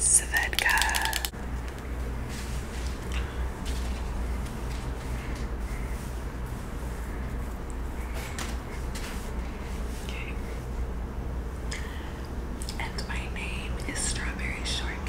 Svedka. Okay. And my name is Strawberry Shortcake.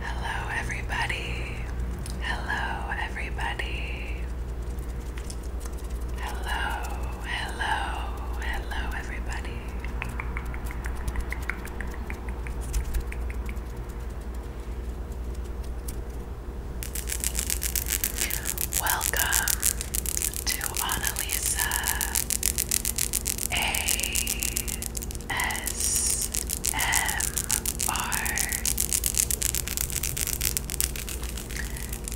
Hello, everybody. Hello, everybody. Hello, hello, hello, everybody. Welcome, to Annalisa A S M R.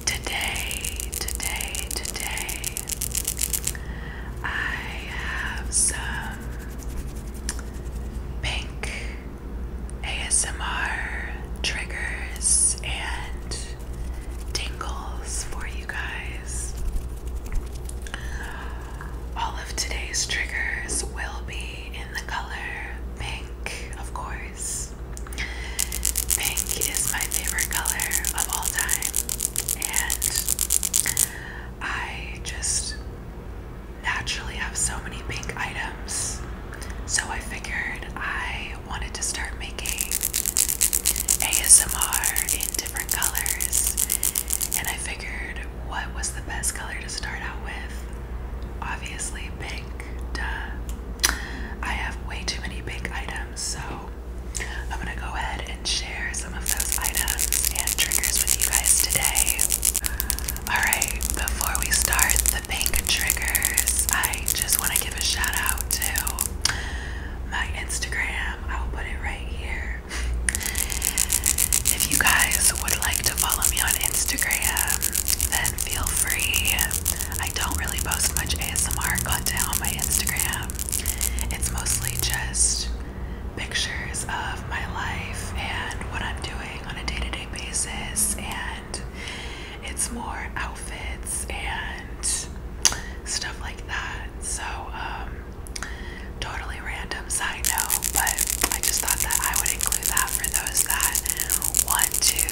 Today, today, today, I have some pink ASMR triggers and tingles for you guys. All of today's triggers will be in the color pink, of course. Pink is my favorite color of all time, and I just naturally have so many pink items. So I figured I wanted to start making ASMR in different colors, and I figured what was the best color to start out with? Obviously, pink. Duh. I have way too many pink items, so I'm gonna go ahead and share some of those items and triggers with you guys today. Alright, before we start the pink triggers, I just want to give a shout out to my Instagram. I will put it right here. If you guys would like to follow me on Instagram, then feel free. I don't really post much ASMR content on my Instagram. It's mostly just pictures of my life and what I'm doing on a day-to-day -day basis and it's more outfits and stuff like that. So, um, totally random side note, but I just thought that I would include that for those that want to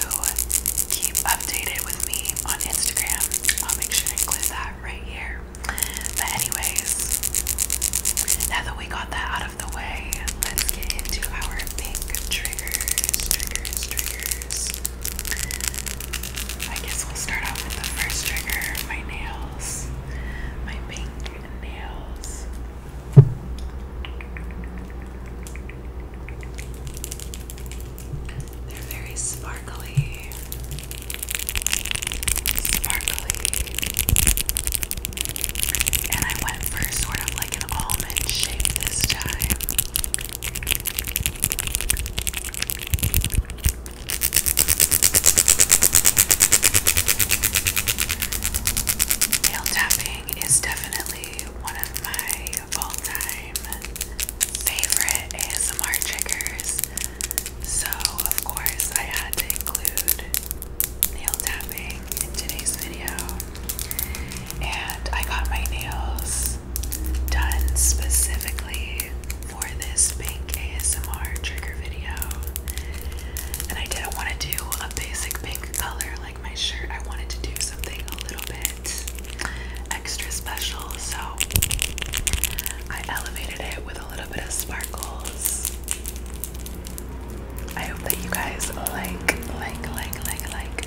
keep updated with me on Instagram. I'll make sure to include that right here. But, anyways, now that we got that out of the way, let's get into our pink triggers, triggers, triggers. I guess we'll start off with the first trigger my nails, my pink nails. They're very sparkly. Sparkly. And I went for sort of like an almond shape this time. Nail tapping is definitely one of my all-time favorite ASMR triggers. So, of course, I had to include nail tapping in today's video. And I got my nails done specifically for this pink ASMR trigger video. And I didn't want to do a basic pink color like my shirt. I wanted to do something a little bit extra special. So I elevated it with a little bit of sparkles. I hope that you guys like, like, like, like, like.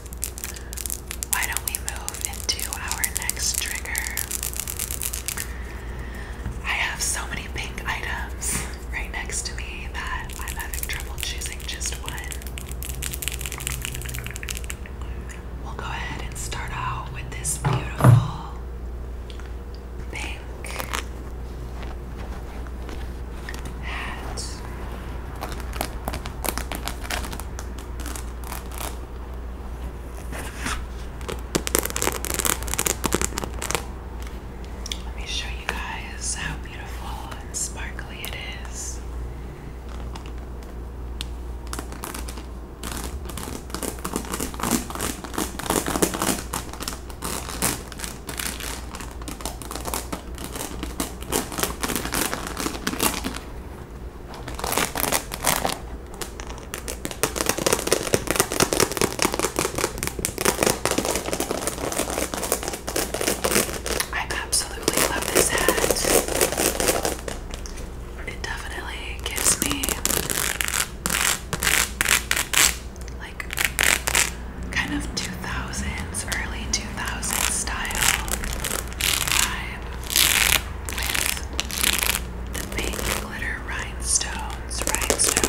why don't we move into our next trigger? I have so many pink items right next to me that I'm having trouble choosing just one. We'll go ahead and start out with this beautiful pink hat. Let me show you guys how beautiful and sparkly it is. I absolutely love this hat. It definitely gives me like kind of 2000s, early 2000s style with the pink glitter rhinestones, rhinestones.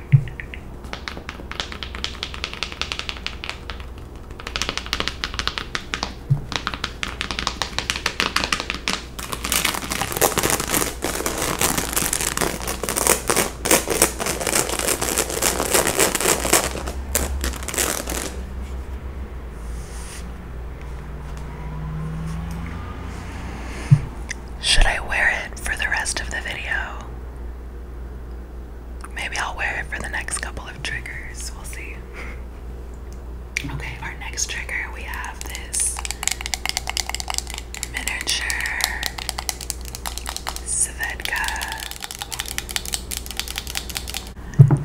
Should I wear it for the rest of the video? Maybe I'll wear it for the next couple of triggers. We'll see. Okay, our next trigger we have this miniature Svedka.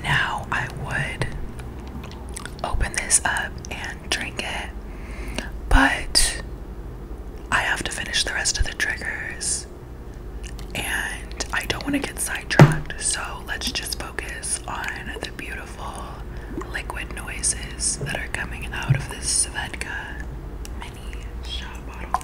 Now I would open this up and drink it, but I have to finish the rest of the triggers and I don't want to get sidetracked, so let's just focus on the beautiful liquid noises that are coming out of this Svedka mini shot bottle.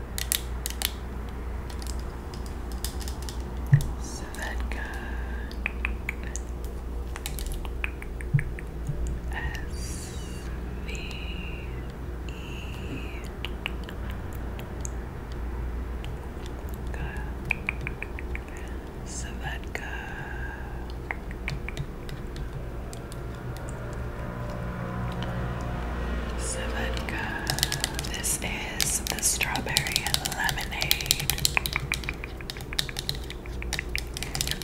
So S V E Savetka Savedka. This is the strawberry lemonade.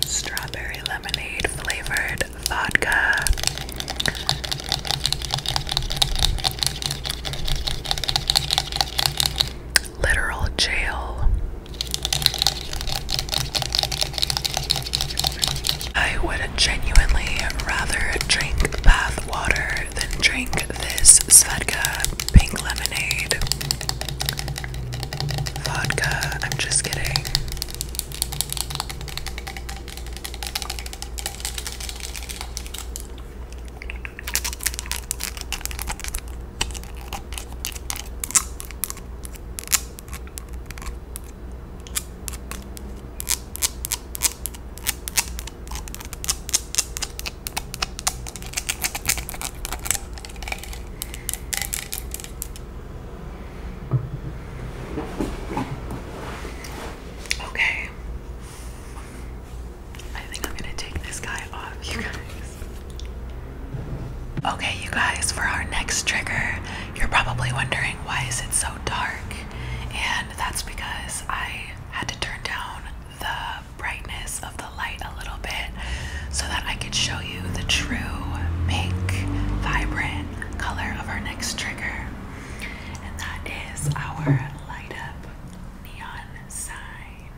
Strawberry lemonade flavored vodka. Literal jail. I would genuinely rather drink bath water than drink this Svedka pink lemonade. Vodka, I'm just kidding. Okay. I think I'm going to take this guy off, you guys. Okay, you guys, for our next trigger, you're probably wondering why is it so dark? and that's because I had to turn down the brightness of the light a little bit so that I could show you the true pink vibrant color of our next trigger and that is our light up neon sign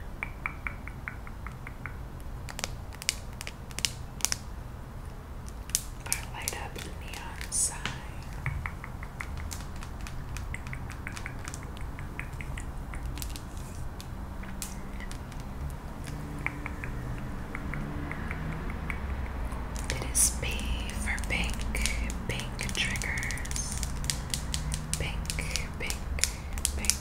our light up neon sign. It is pink, pink triggers, pink, pink, pink.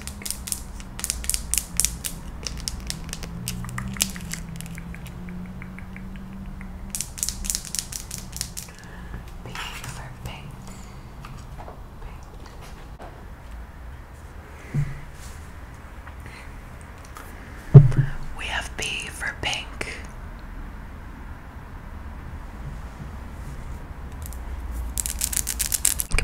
Pink over pink. We have B for pink.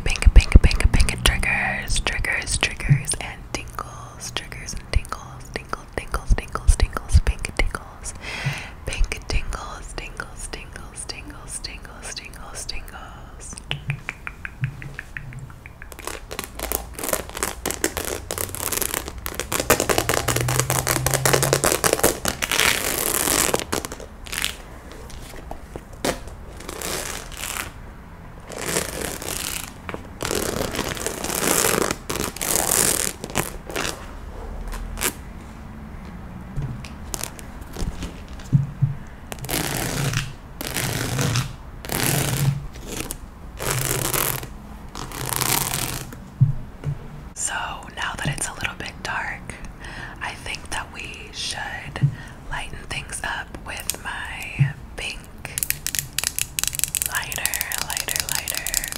Pink, pink, pink, pink, Triggers, triggers, triggers, and tingles, triggers and tingles, tingles tingles, tingles, tingles, pink tingles, pink tingles, tingles, tingles, tingles, tingles, tingles, tingles. So now that it's a little bit dark, I think that we should lighten things up with my pink Lighter, lighter, lighter.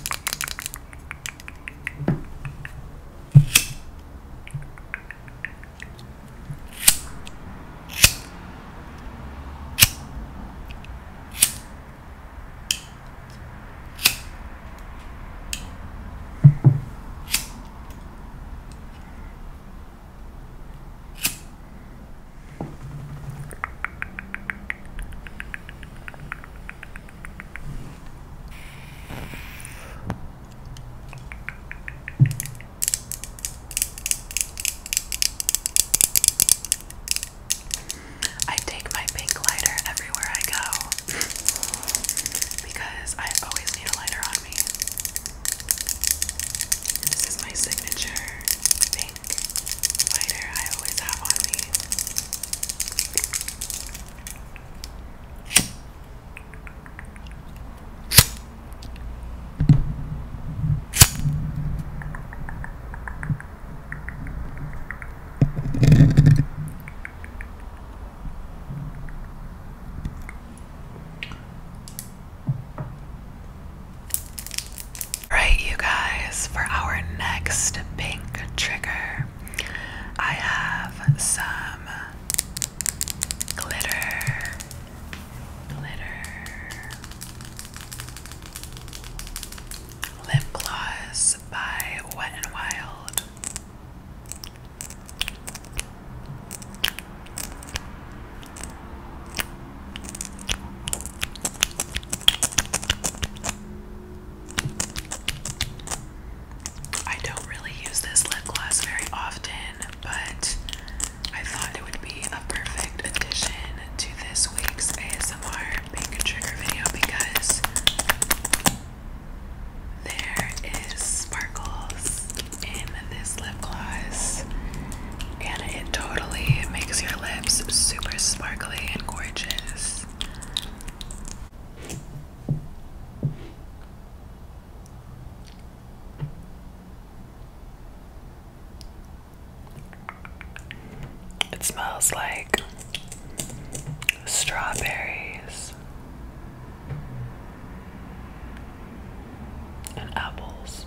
I take my pink lighter everywhere I go because I always need a lighter on me. This is my signature pink lighter I always have on me. Right, you guys, for our next pink trigger, I have some glitter. Glitter. Lip gloss by Wet n Wild. I don't really use this lip gloss very often, but I thought it would be a perfect addition to this week's ASMR pink trigger video because there is sparkles in this lip gloss and it totally makes your lips super sparkly and gorgeous. It smells like strawberries and apples.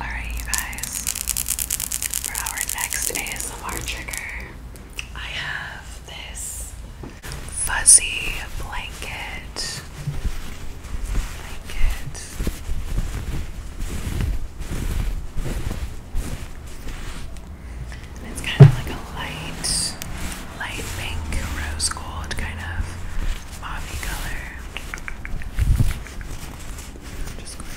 Alright, you guys, for our next ASMR trigger, I have this fuzzy blanket. Blanket. And it's kind of like a light, light pink, rose gold kind of mauve color. I'm just going to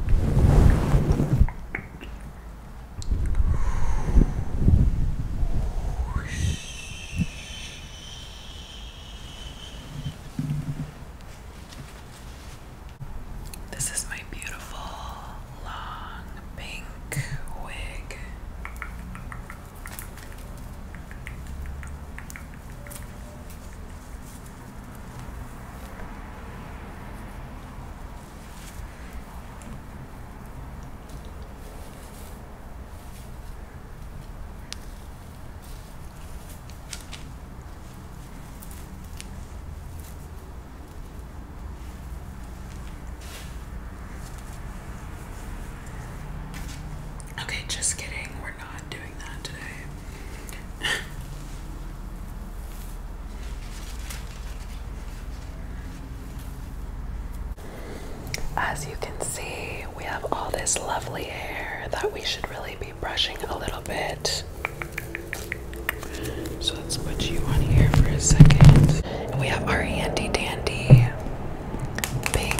This is my beautiful long pink wig. Okay, just kidding we As you can see, we have all this lovely hair that we should really be brushing a little bit. So let's put you on here for a second. And we have our handy dandy pink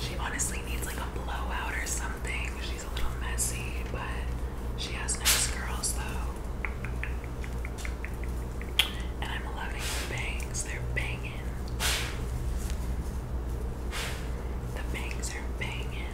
She honestly needs like a blowout or something. She's a little messy, but she has nice curls though. And I'm loving the bangs, they're banging. The bangs are banging.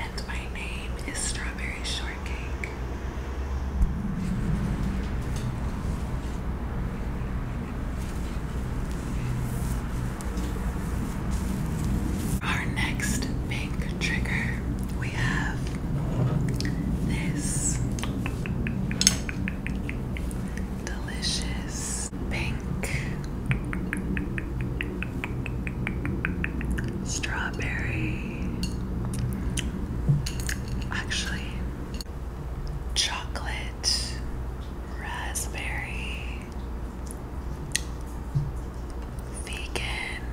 And my name is Strawberry Shortcake. Our next pink trigger, we have this delicious pink strawberry. Actually, chocolate, raspberry, vegan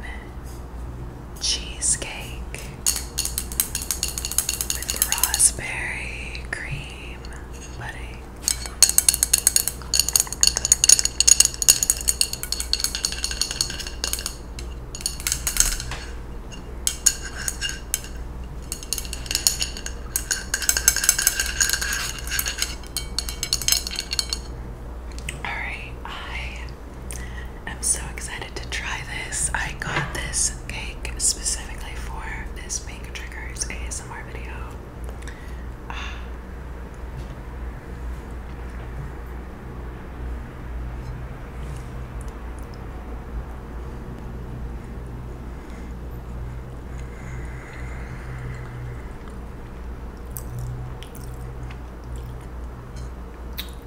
cheesecake with raspberry cream pudding. Alright, I am so excited to try this. I got this cake specifically for this Pink Triggers ASMR video.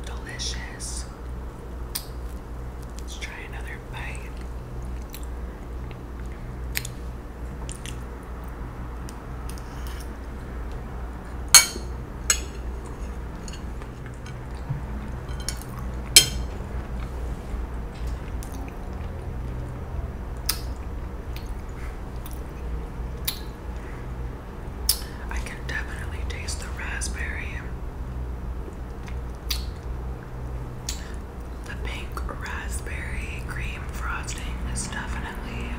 Delicious. Let's try another bite. I can definitely taste the raspberry. The pink raspberry cream frosting is definitely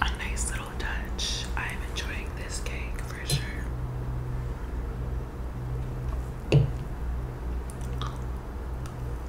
a nice little touch. I'm enjoying this cake for sure.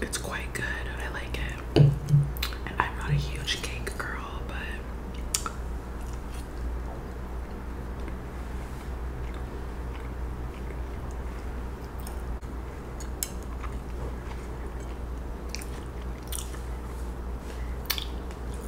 It's quite good, I like it. I'm not a huge cake girl, but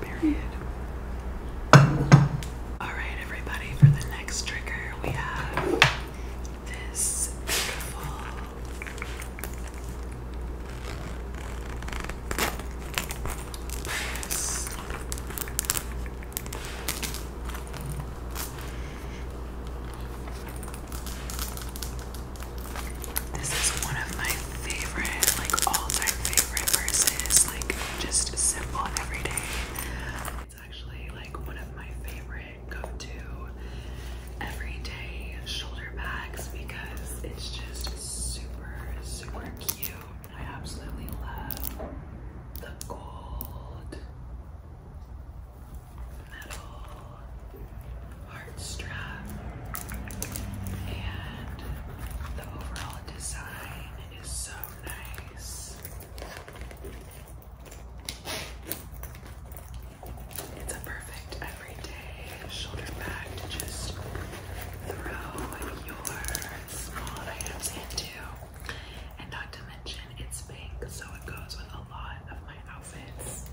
Period. Alright, everybody, for the next trigger, we have this beautiful purse. This is one of my favorite, like all-time favorite purses, like just simple everyday. It's actually like one of my favorite go-to everyday shoulder bags because it's just super, super cute. I absolutely love the gold metal heart strap and the overall design is so nice. It's a perfect everyday shoulder bag to just throw your small items into. And not to mention, it's pink, so it goes with a lot of my outfits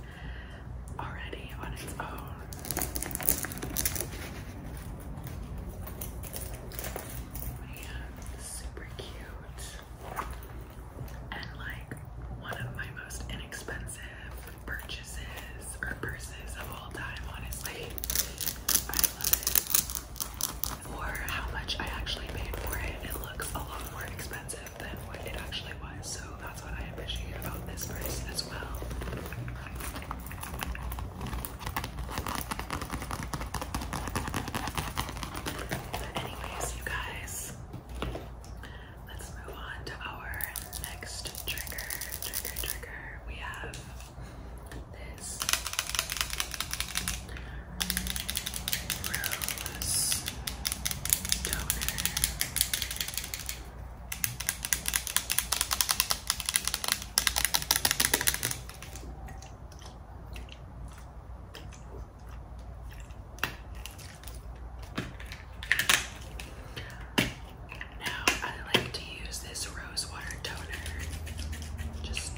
already on its own and super cute and like one of my most inexpensive purchases or purses of all time honestly. I love it. Or how much I actually paid for it, it looks a lot more expensive than what it actually was. So that's what I appreciate about this purse as well. But anyways, you guys, let's move on to our next trigger. Trigger, trigger. We have this rose toner. Now, I like to use this rose water toner just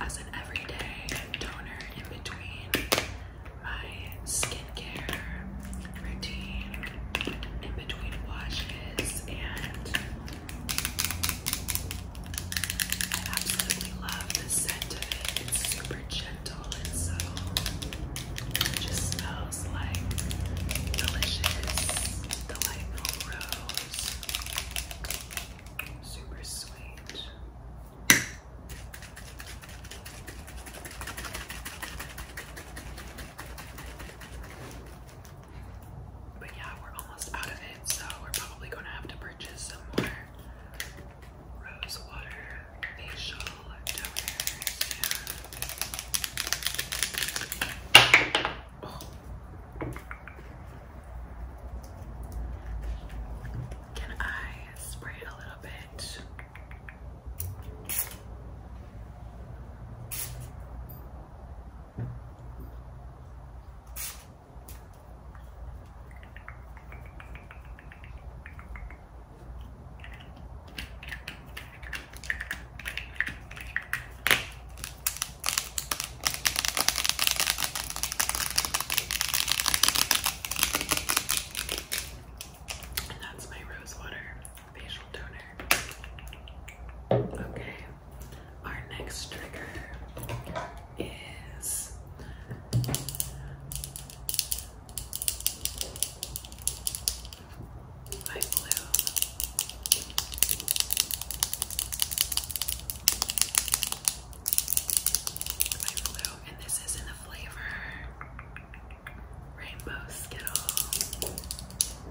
as an everyday toner in between my skincare routine, in between washes, and I absolutely love the scent of it. It's super gentle and subtle. It just smells like delicious, delightful rose. Super sweet. But yeah, we're almost out of it, so we're probably gonna have to purchase some more rose water facial Can I spray it a little bit? that's my rose water facial toner. Okay. Our next trigger is light blue. Light blue, and this is in the flavor Rainbow Skittle.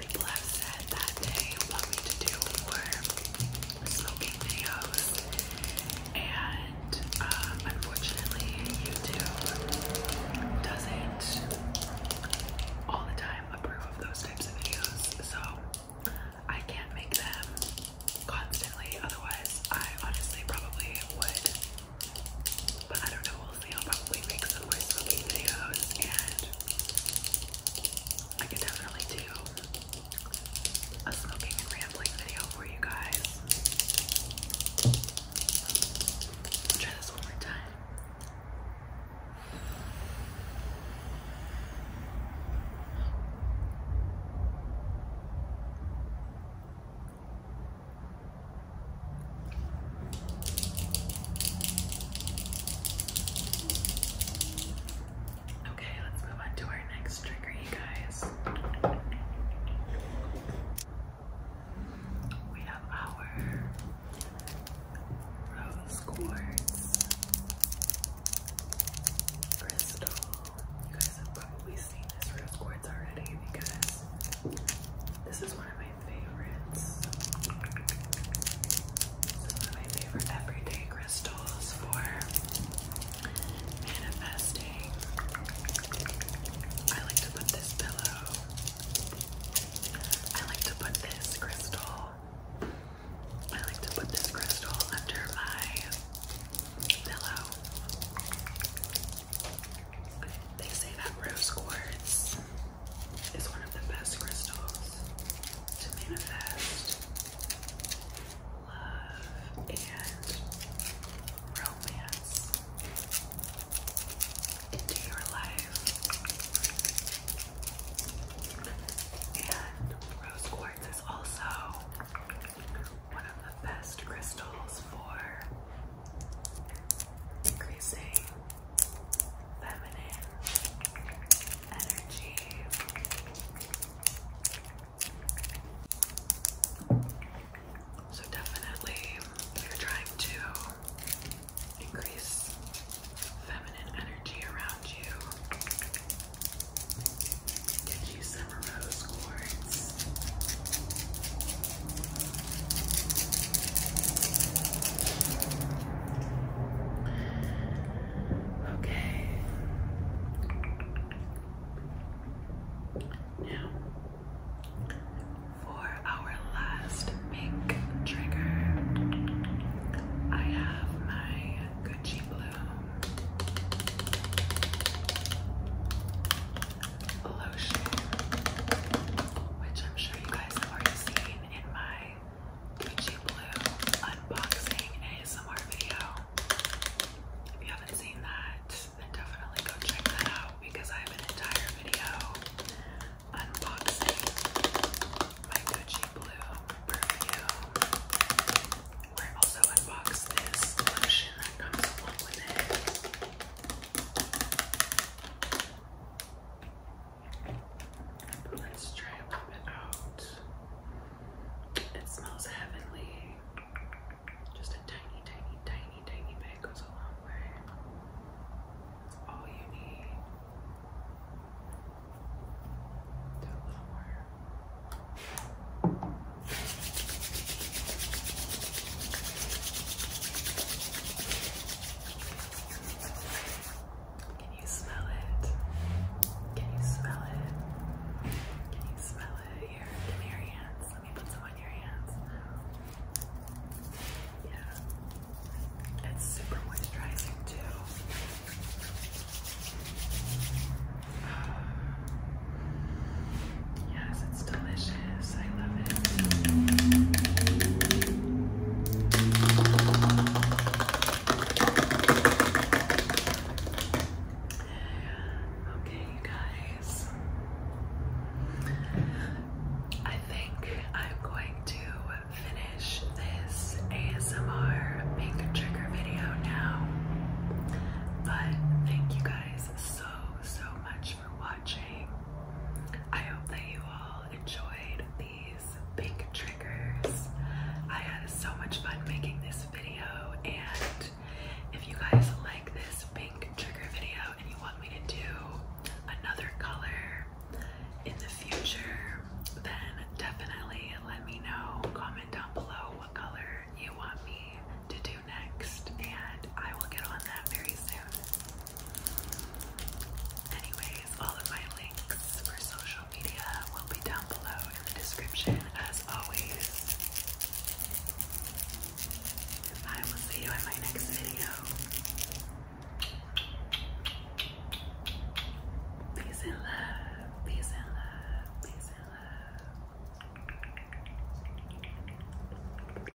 People have said that they want me to do more smoking videos, and uh, unfortunately, YouTube doesn't all the time approve of those types of videos, so I can't make them constantly. Otherwise, I honestly probably would but I don't know, we'll see. I'll probably make some more smoking videos and I can definitely do a smoking and rambling video for you guys. try this one more time. Okay, let's move on to our next trigger, you guys. We have our rose quartz crystal. You guys have probably seen this rose quartz already because this is one of my favorites. Some of my favorite everyday crystals for manifesting. I like to put this pillow. I like to put this crystal. I like to put this crystal under my pillow. They say that rose quartz is one of the best crystals to manifest love and romance into your life. And rose quartz is also one of the best crystals for increasing feminine energy. So, definitely, you're trying to increase feminine energy around you, get you some rose quartz. Okay. Now, for our last pink trigger, I have my Gucci Blue lotion, which I'm sure you guys have already seen in my Gucci Blue unboxing ASMR video. If you haven't seen that, then definitely go check that out because I have an entire video unboxing my Gucci Blue perfume. We also unboxed this lotion that comes along with it let's try it out. It smells heavenly. Just a tiny, tiny, tiny, tiny bit goes a long way. It's all you need. Can you smell it? Can you smell it? Can you smell it? Here, give your hands. Let me put some on your hands. Yeah. It's super moisturizing too. Yes, it's delicious. I love it. Okay, you guys. I think I'm going to finish this ASMR pink trigger video now. But thank you guys so, so much for watching. I hope that you all enjoyed these big triggers. I had so much fun making this video, and if you guys like this pink trigger video and you want me to do another color in the future, then definitely let me know. Comment down below what color you want me to do next, and I will get on that very soon. Anyways, all of my links for social media will be down below in the description as always. I will see you in my next video. Peace and love, peace and love, peace and love.